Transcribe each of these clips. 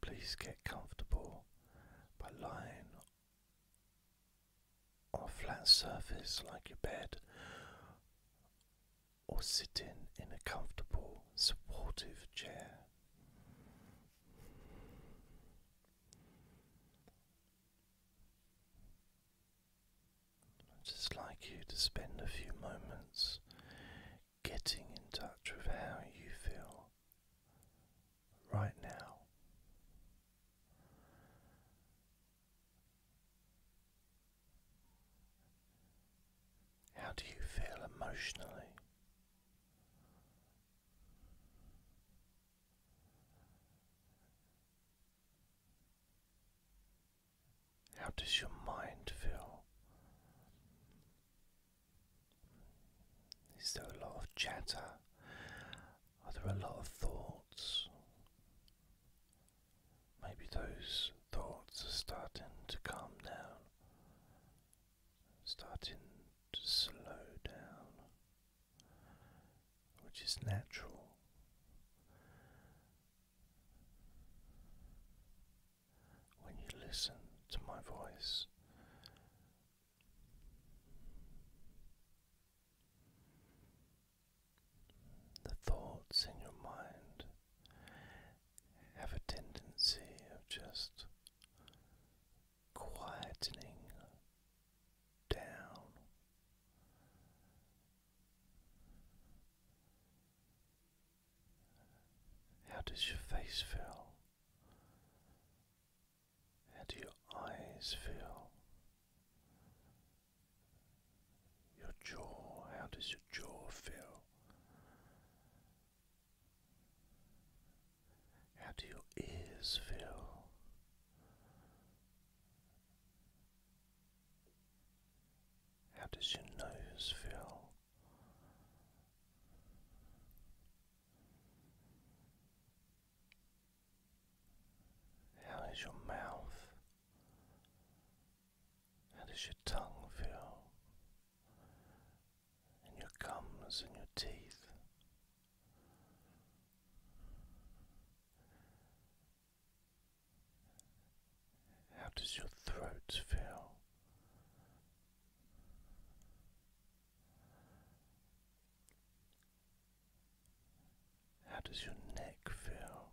Please get comfortable by lying on a flat surface like your bed or sitting in a comfortable, supportive chair. I'd just like you to spend a few moments getting in touch with how you feel right now. How do you feel emotionally? How does your mind feel is there a lot of chatter? Are there a lot of thoughts? Maybe those thoughts are starting to calm down, starting to slow down, which is natural when you listen to my voice. The thoughts in your mind have a tendency of just quietening down. How does your face feel? How do your eyes feel? Your jaw, how does your jaw feel? How do your ears feel? How does your nose feel? How does your mouth? How does your tongue feel? And your gums and your teeth? How does your throat feel? How does your neck feel?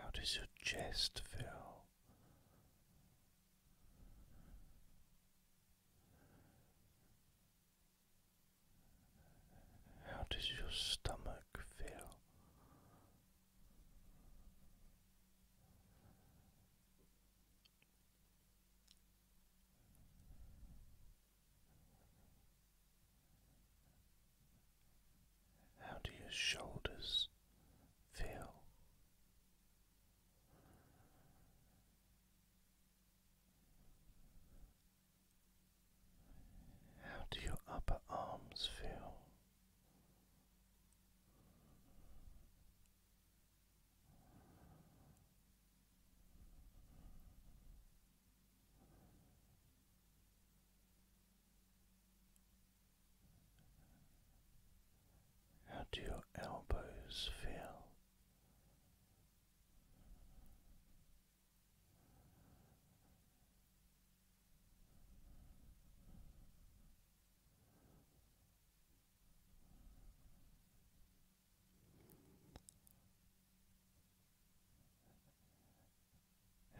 How does your chest feel? How does your stomach feel? How do your shoulders feel? How do your upper arms feel? How do your elbows feel?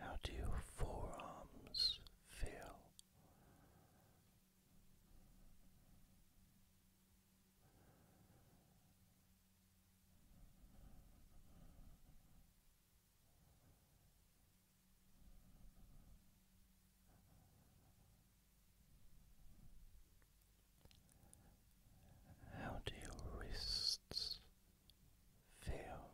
How do your forearms feel? How do your wrists feel?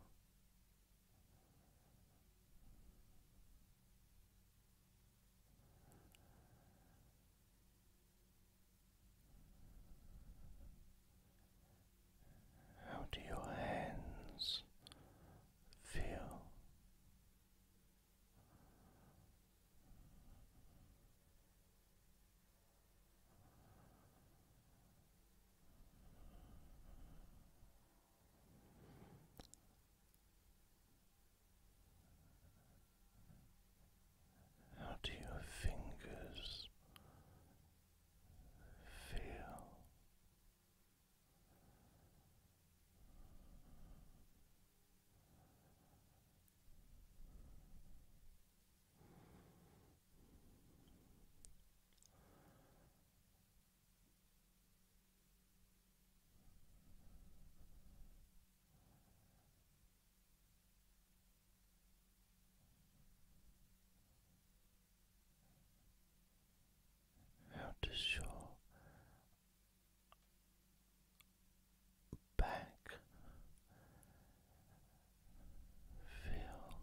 How do your hands feel? How do your fingers feel? How does your back feel?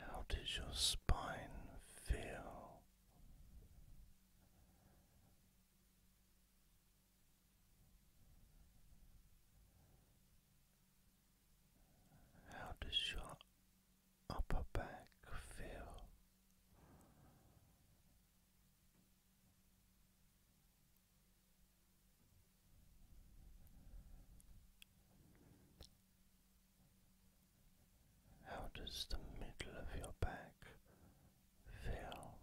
How does your spine feel? How does your upper back feel? How does the middle of your back feel?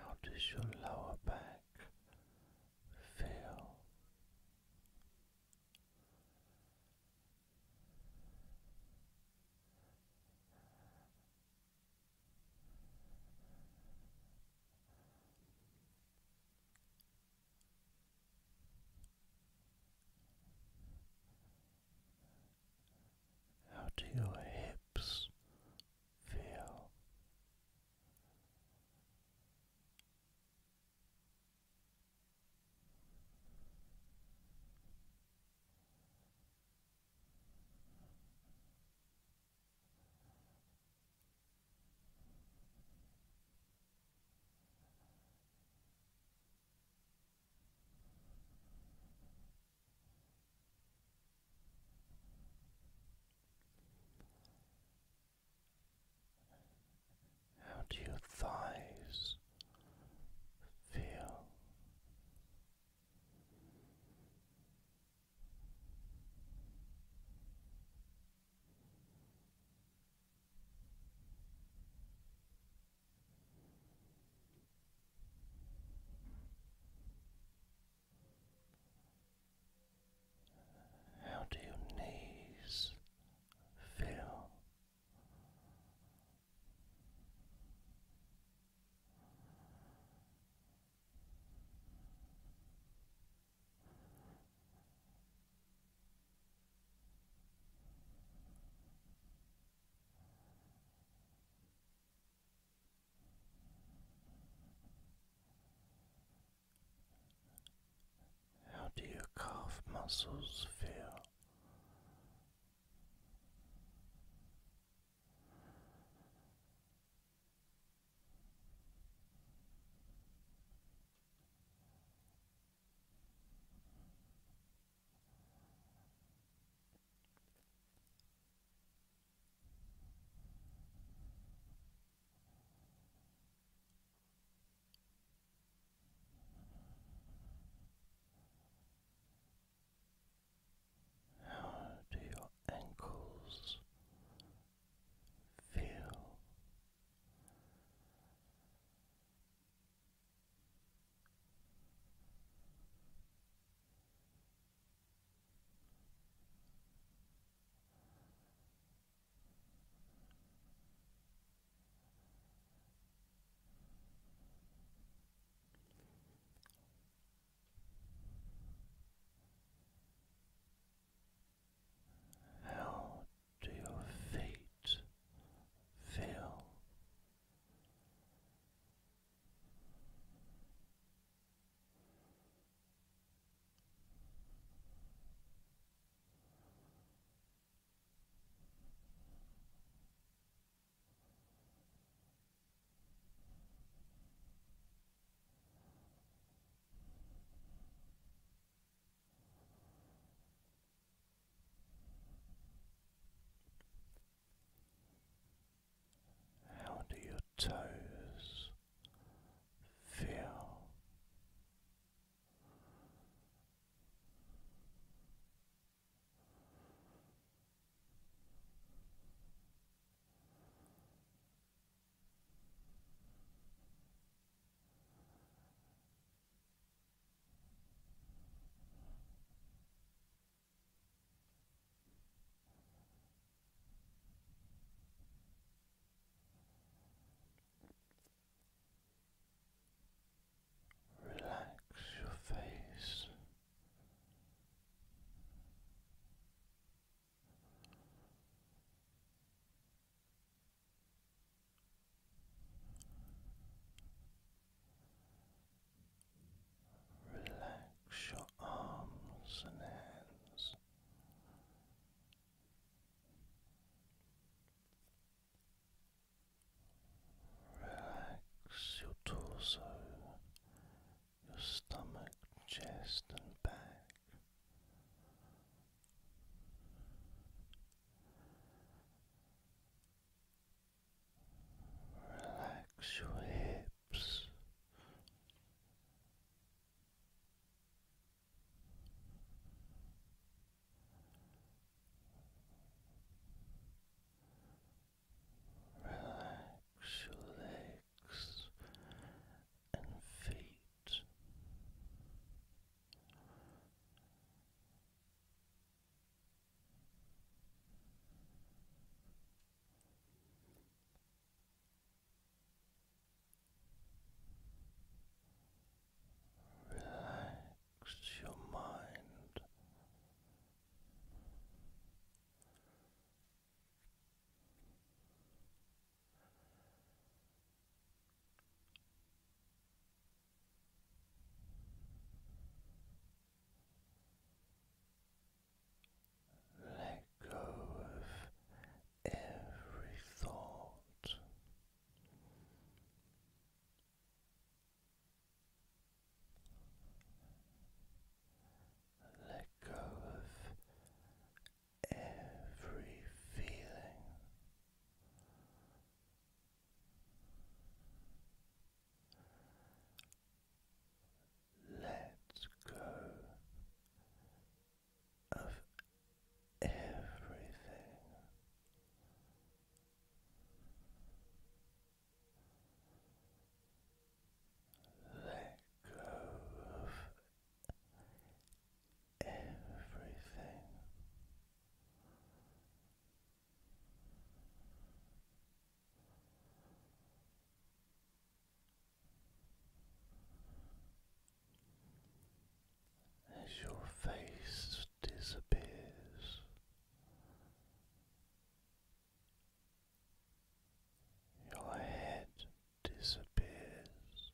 How does your lower back feel? How do your hips feel? How do your thighs feel? How do your knees feel? How do your calf muscles feel? How do your ankles feel how do your feet feel? How do your toes feel? Relax your face. Relax your arms and hands. Relax your torso, your stomach, chest, and back. Relax your hips. Relax your legs and feet. Relax your mind. Let go of every thought. Let go of every feeling. Let go of everything. Let go of everything. As your face disappears, your head disappears.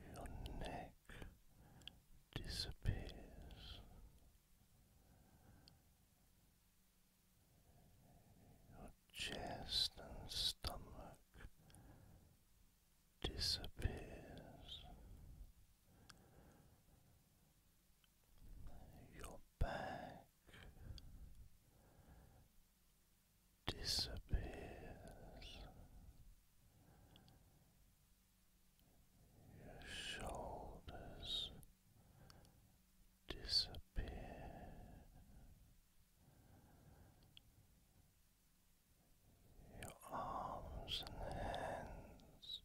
Your neck disappears. Your chest and stomach disappears your back disappears, your shoulders disappear, your arms and hands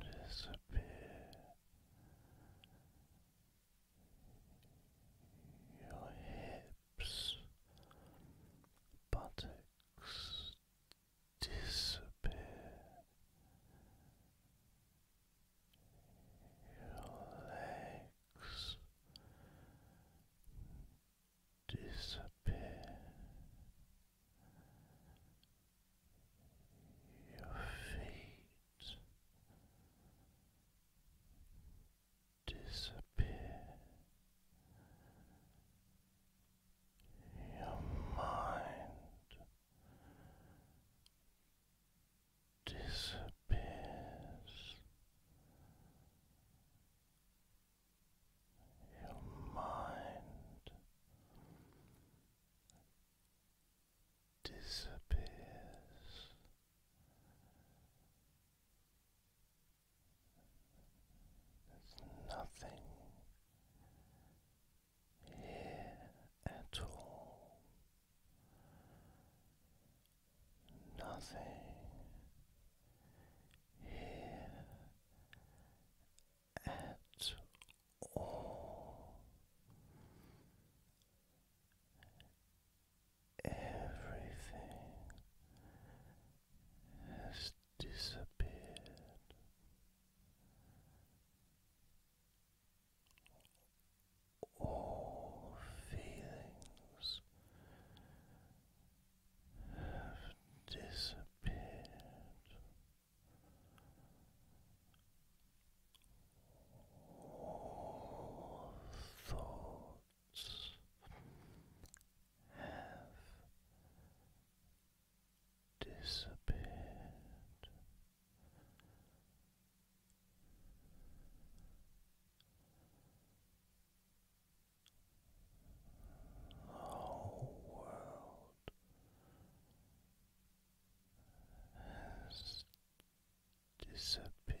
disappear. Your hips, buttocks disappear. Your legs disappear feet disappear, your mind disappears your mind disappears. There's nothing here at all. Nothing here at all. Everything has disappeared. All feelings have disappeared. All thoughts have disappeared. The whole world has disappeared